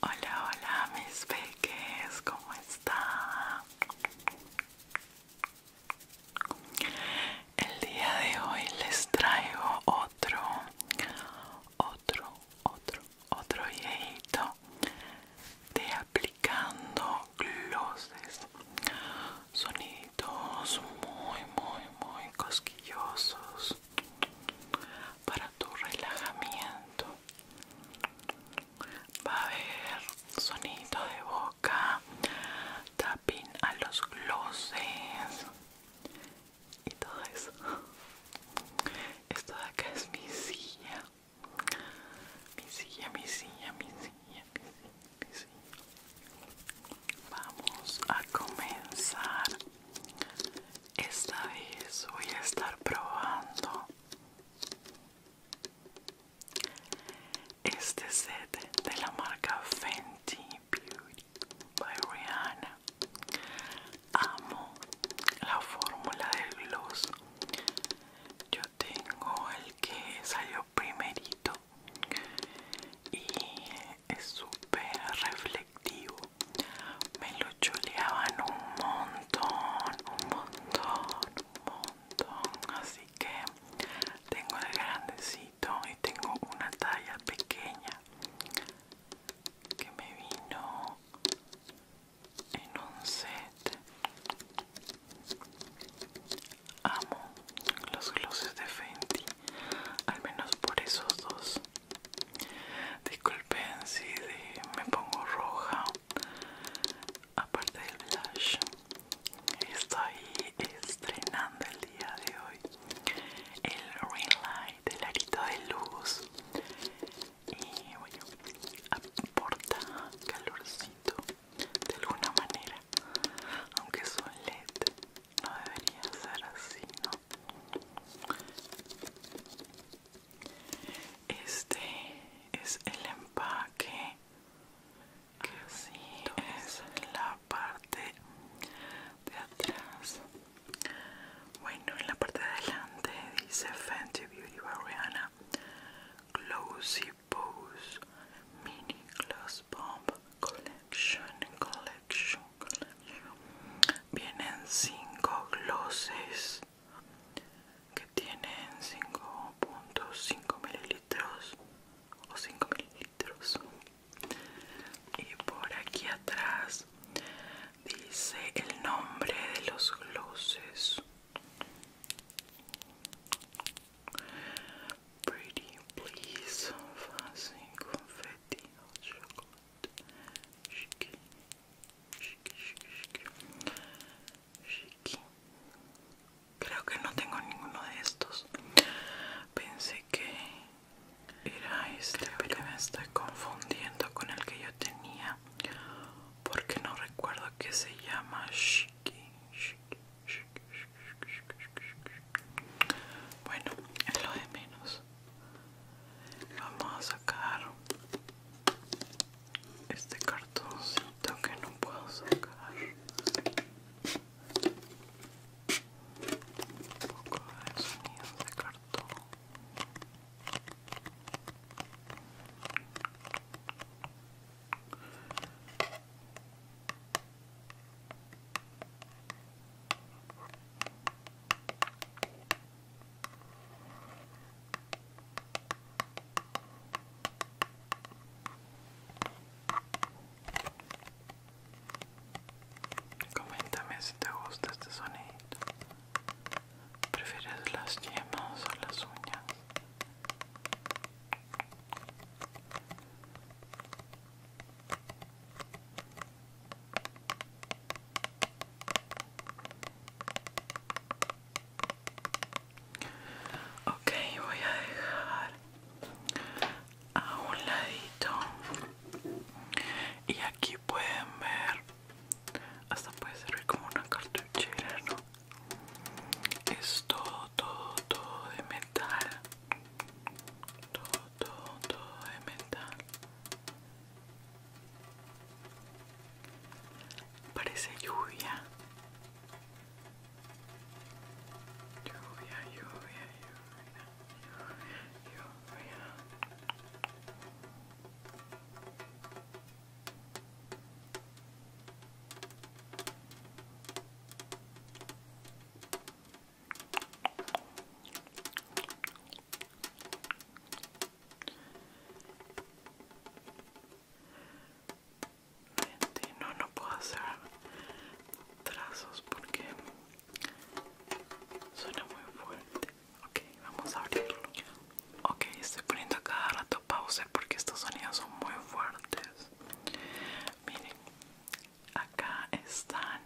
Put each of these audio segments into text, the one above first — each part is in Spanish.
Hola, hola mis peques, ¿cómo está? El día de hoy les traigo otro, otro, otro, otro videito de aplicando glosses, sonidos muy, muy, muy cosquillosos para tu relajamiento va a haber sonido de boca tapping a los glosses y todo eso esto de acá es mi silla mi silla mi silla mi silla mi silla, mi silla. vamos a comenzar esta vez voy a estar probando este set de la marca Fenty Beauty by Rihanna. Amo la fórmula del gloss. Yo tengo el que salió primerito y es súper reflexivo me lo chuleaban un montón, un montón, un montón. Así que tengo el grandecito y tengo una talla pequeña que me vino en un set. Amo los glosses de Fenty, al menos por esos dos. Disculpen si me pongo roja. Aparte del blush, estoy estrenando el día de hoy el ring light, el arito de luz. Y bueno, aporta calorcito de alguna manera, aunque son LED. No debería ser así, ¿no? Este es el empaque que así es la parte de atrás. Bueno, en la parte de adelante dice Fenty Beauty Bariana Closy Pose Mini Gloss Bomb Collection Collection Vienen cinco glosses que tienen 5.5 mililitros o 5 mililitros. Y por aquí atrás dice el nombre de los glosses. Pretty, please, fancy, confetti, Shiki, shiki, shiki, shiki. Shiki. Creo que no tengo ninguno de estos. Pensé que era este, pero me estoy confundiendo con el que yo tenía. Porque no recuerdo que se llama Shiki. Shiki, shiki, shiki, shiki, shiki, shiki. Bueno, es lo de menos vamos a sacar este cartoncito que no puedo sacar un poco de sonido de cartón Coméntame si te gusta este sonido. ¿Prefieres las yemas o las uñas? Ok, voy a dejar a un ladito y aquí pueden ver, hasta puede servir como una cartuchera, ¿no? Es todo, todo, todo de metal, todo todo, todo es Parece Lluvia, lluvia, lluvia, lluvia. lluvia. No, no puedo hacer trazos porque suena muy fuerte. Ok, vamos a abrirlo. Ok, estoy poniendo cada rato pausa porque estos sonidos son muy fuertes. Miren, acá están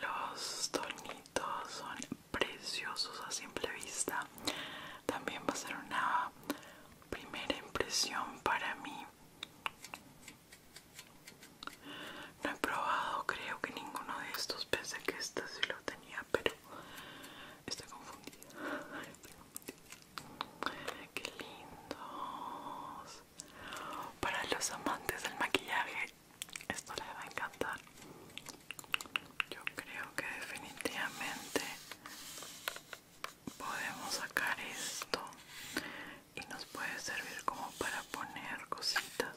los tornitos son preciosos a simple vista también va a ser una primera impresión para mí no he probado creo que ninguno de estos pensé que este si lo tenía pero estoy confundida, que qué lindos para los amantes del maquillaje esto le va a encantar. Yo creo que definitivamente podemos sacar esto y nos puede servir como para poner cositas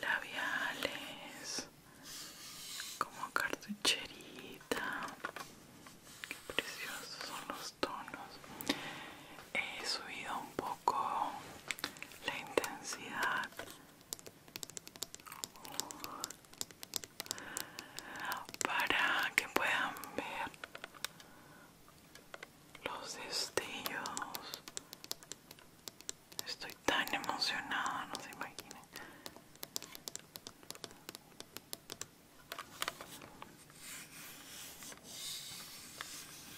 labiales como cartucherita qué preciosos son los tonos he subido un poco con la intensidad para que puedan ver los destellos estoy tan emocionada no se imaginen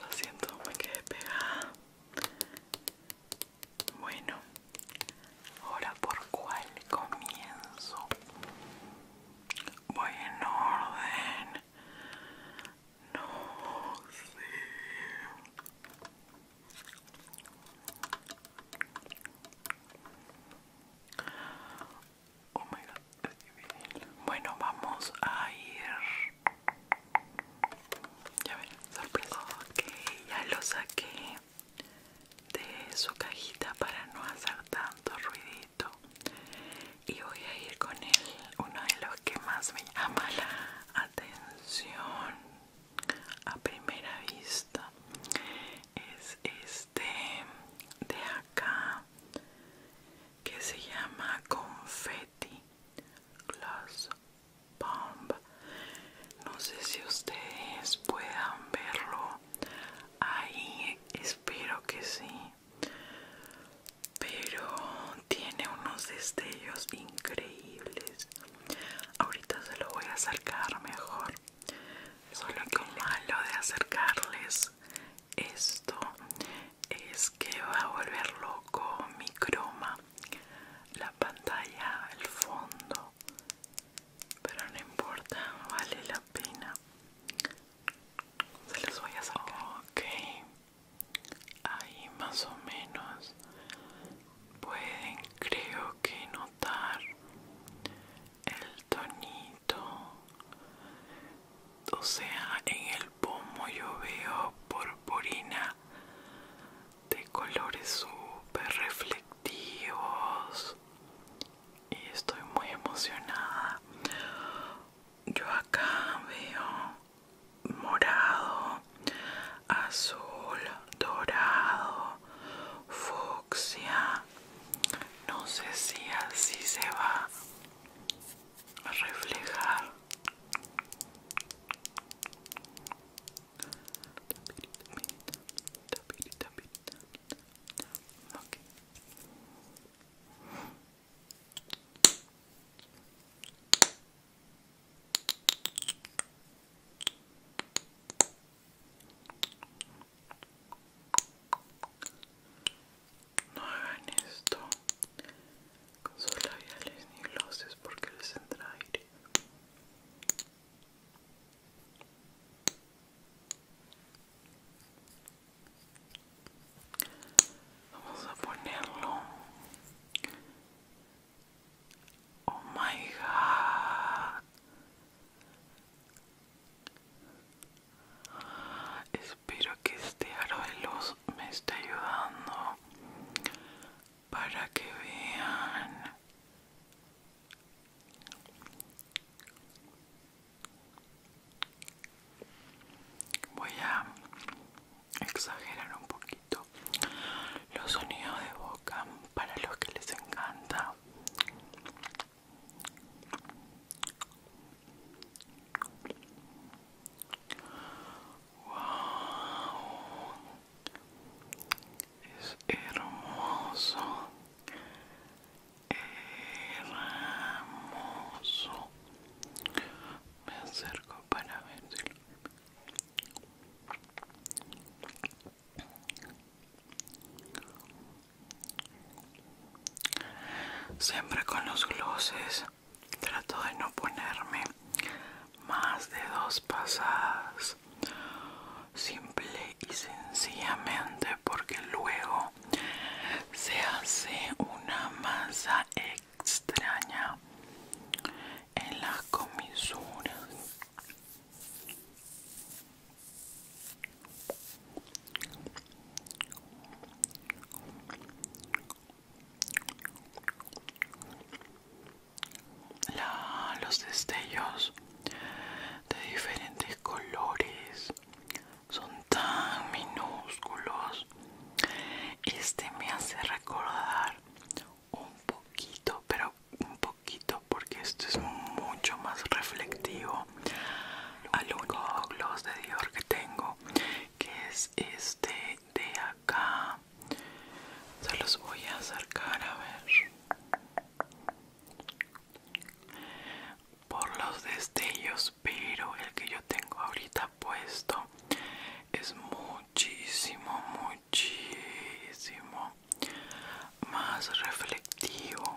Lo siento, me quedé pegada. Bueno, ahora por cuál comienzo. Voy en orden. No sé. Oh my god, Bueno, vamos a ir. Ya ven, sorpresa. Ok, ya lo saqué de su cajita para no hacer tanto ruidito. Y voy a ir con él, uno de los que más me llama la atención a primera vista. Es este de acá que se llama confetti Gloss bomb no sé si ustedes puedan verlo ahí espero que sí pero tiene unos destellos increíbles ahorita se lo voy a acercar mejor Solo que malo de acercarles esto es que va a volver loco mi croma, la pantalla, el fondo, pero no importa, vale la pena. Se les voy a hacer Ok, ahí más o menos pueden, creo que notar el tonito o sea, en el pomo yo veo purpurina de colores súper reflectivos y estoy muy emocionada. Yo acá veo morado, azul, dorado, fucsia, no sé si así se va a reflejar no hagan esto con sus labiales ni glosses porque les entra aire. Vamos a ponerlo. Oh my god. Espero que este aro de luz me esté ayudando para que vean voy a exagerar un poquito los sonidos de boca para los que les encanta Wow, es hermoso, hermoso. Me acerco para ver Siempre con los glosses trato de no ponerme más de dos pasadas. Simple y sencillamente porque luego se hace una masa extraña en las comisuras la, los destellos de diferentes colores son tan minúsculos este me hace recordar un poquito pero un poquito porque esto es mucho más reflectivo al único gloss de Dior que tengo que es este de acá se los voy a acercar a ver por los destellos pero el que yo tengo ahorita puesto es muchísimo muchísimo más reflectivo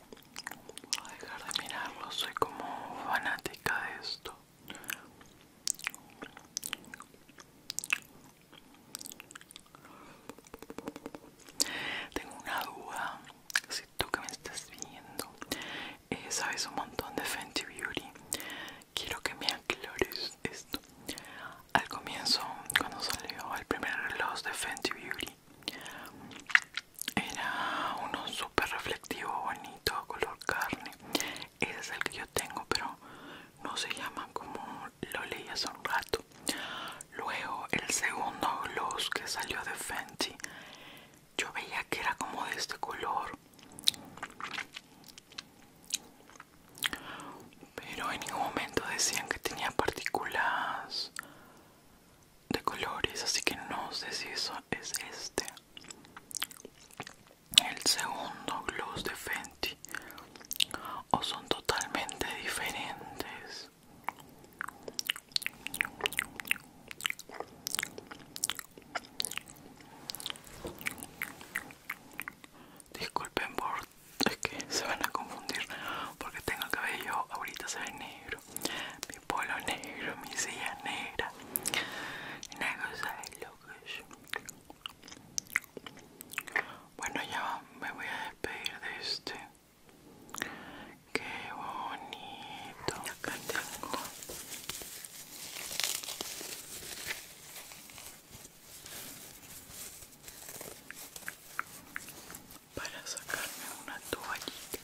Voy a dejar de mirarlo, soy como fanática de esto. Tengo una duda, si tú que me estás viendo, eh, sabes un montón de Fenty Beauty. Quiero que me aclores esto. Al comienzo, cuando salió el primer reloj de Fenty Beauty, era uno súper reflectivo bonito color carne ese es el que yo tengo pero no se llama como lo leí hace un rato luego el segundo gloss que salió de Fenty yo veía que era como de este color pero en ningún momento decían que tenía partículas de colores así que no sé si eso es este el segundo gloss de Fenty o son totalmente diferentes disculpen por es que se van a confundir porque tengo el cabello ahorita se ve negro mi polo negro, mi silla negra. cosa de Bueno, ya me voy a despedir de este. Qué bonito. acá tengo. Para sacarme una toallita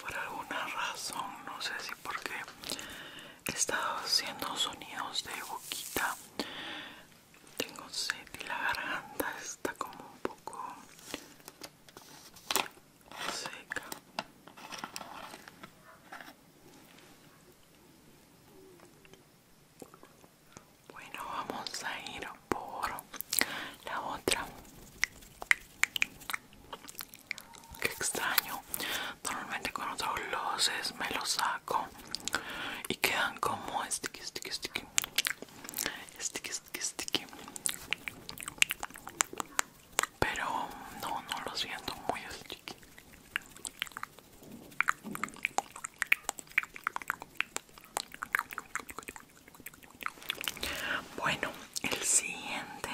Por alguna razón, no sé si porque he estado haciendo sonidos de boquita. Tengo sed y la garganta está como un poco seca. Bueno, vamos a ir por la otra que extraño normalmente con otros glosses me los saco y quedan como sticky sticky sticky sticky sticky sticky pero no no lo siento muy sticky bueno, el siguiente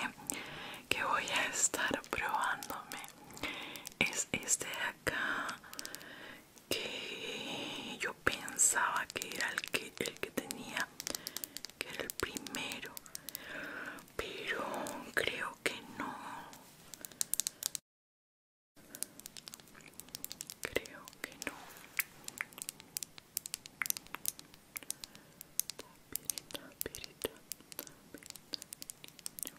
que voy a estar probándome es este de acá que yo pensaba que era el que, el que tenía, que era el primero, pero creo que no. Creo que no.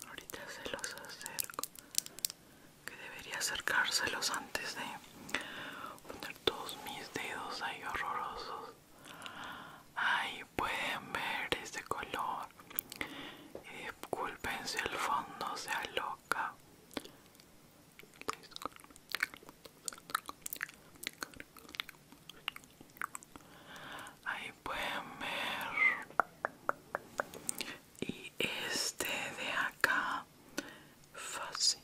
Ahorita se los acerco. Que debería acercárselos antes de poner todos mis dedos ahí horrorosos. Ahí pueden ver este color. Y eh, disculpen si el fondo sea loca Ahí pueden ver Y este de acá Fácil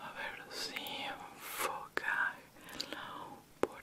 A ver si enfoca Por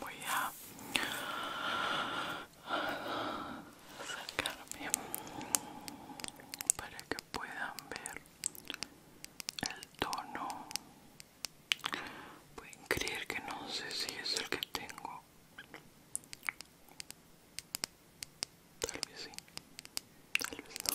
voy a sacarme para que puedan ver el tono pueden creer que no sé si es el que tengo tal vez sí tal vez no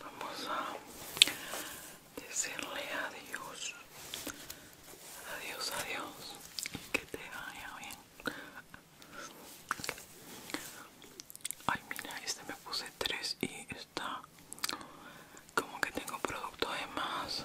Vamos a decirle adiós. Adiós, adiós. Que te vaya bien. Ay, mira, este me puse tres y está como que tengo producto de más.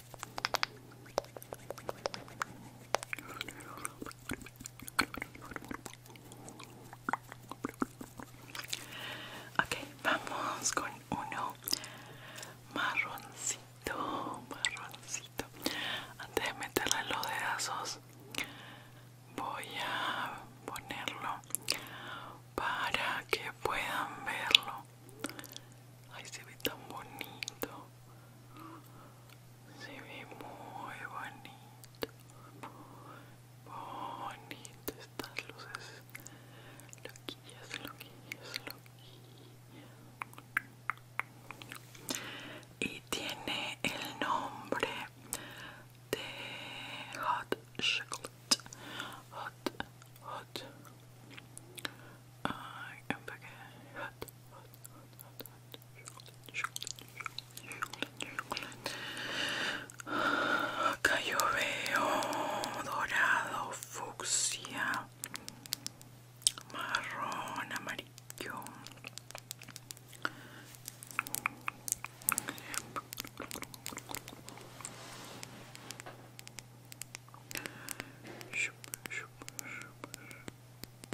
Ok, vamos con uno marroncito, marroncito. Antes de meterle los dedazos, voy a ponerlo para que puedan verlo. Ay, se ve tan bonito se ve muy bonito bonito estas luces loquillas loquillas loquillas y tiene el nombre de hot chocolate hot hot I am back hot, hot, hot, hot, hot. Cayoveo dorado, fucsia, marrón, amarillo. Shup, shup, shup.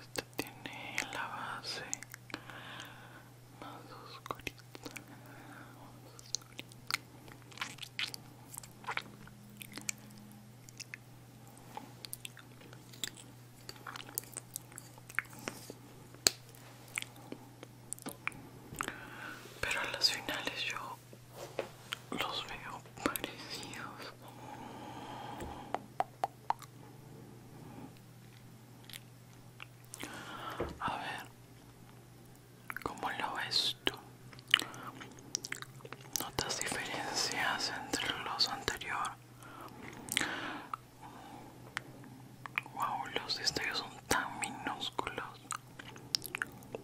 Esta tiene la base más oscurita. Pero a las finales yo los veo parecidos a ver cómo lo ves tú notas diferencias entre los anteriores wow los destellos son tan minúsculos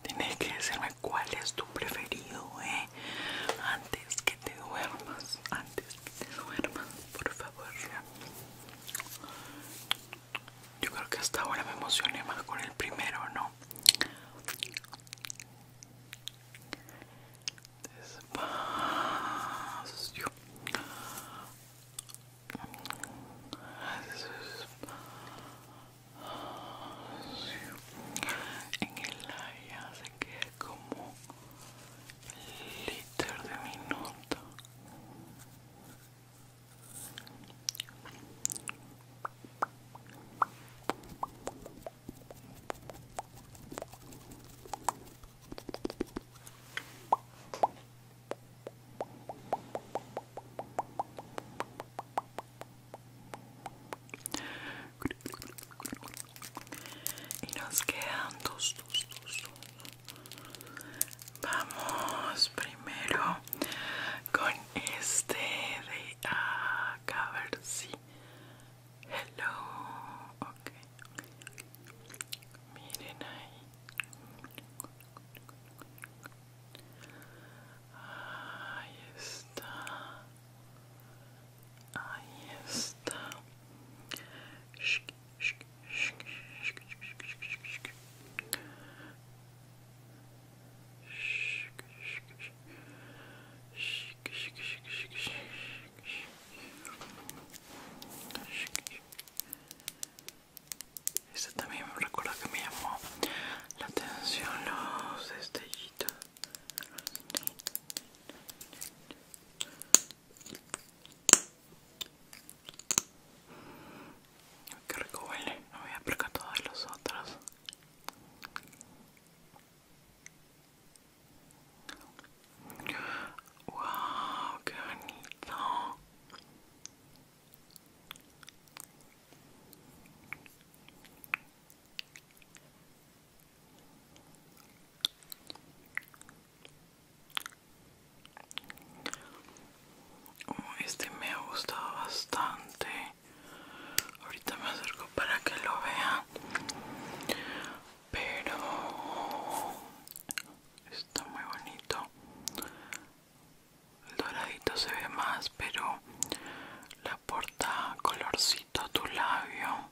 Tienes que decirme cuál es tu preferido, eh. Antes que te duermas, antes que te duermas, por favor. Yo creo que hasta ahora me emocioné más con el primero, ¿no? Despacio. Despacio en el aire se que como liter de minuto y nos quedan dos, dos, dos, Vamos primero con este de a ver si. Hello. Ok. Miren ahí. Ahí está. Ahí está. Este también me recuerda que me llamó la atención los destellitos Qué rico huele, no a percatado todos los otros. Wow, qué bonito. Este me ha gustado bastante. Ahorita me acerco para que lo vean. Pero está muy bonito. El doradito se ve más, pero porta colorcito a tu labio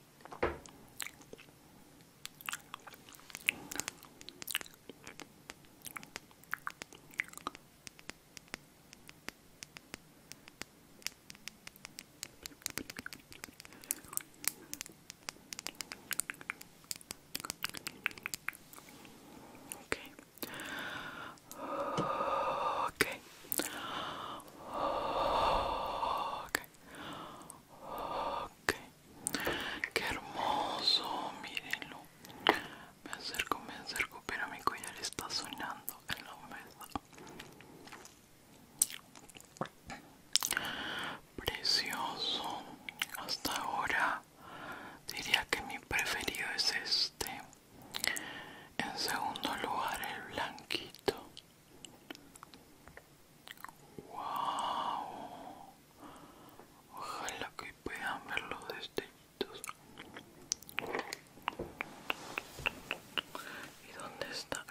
Ok Okay. Okay. Qué hermoso, mírenlo. Me acerco, me acerco, pero mi collar está sonando en la mesa. Precioso. Hasta ahora diría que mi preferido es este. En segundo lugar el blanquito. Wow. Ojalá que puedan ver los destellitos. ¿Y dónde está?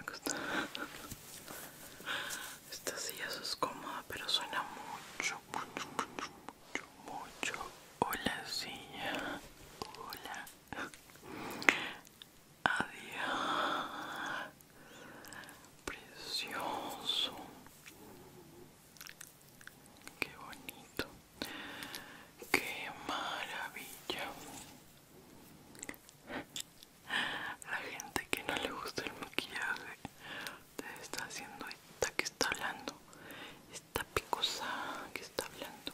Esta silla es cómoda, pero suena mucho, mucho, mucho, mucho. Hola silla, hola. Adiós. Precioso. Qué bonito. Qué maravilla. La gente que no le gusta el maquillaje te está haciendo esta que está hablando. Esta picosa que está hablando.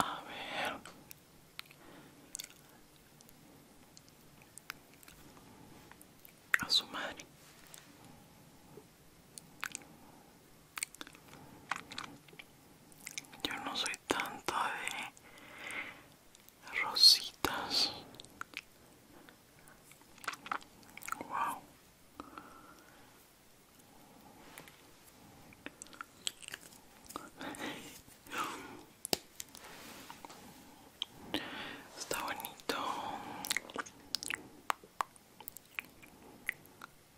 A ver. A su madre. Yo no soy tanto de rositas. Wow. Está bonito.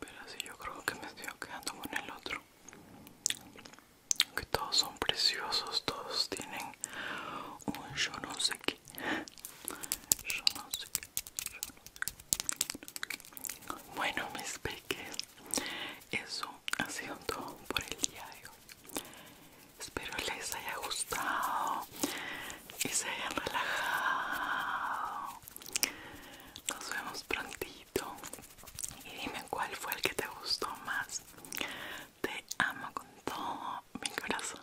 Pero si yo creo que me estoy quedando con el otro. Que todos son preciosos, todos tienen un yo no sé qué. Bueno, mis peques, eso ha sido todo por el día Espero les haya gustado y se hayan relajado. Nos vemos prontito. Y dime cuál fue el que te gustó más. Te amo con todo mi corazón.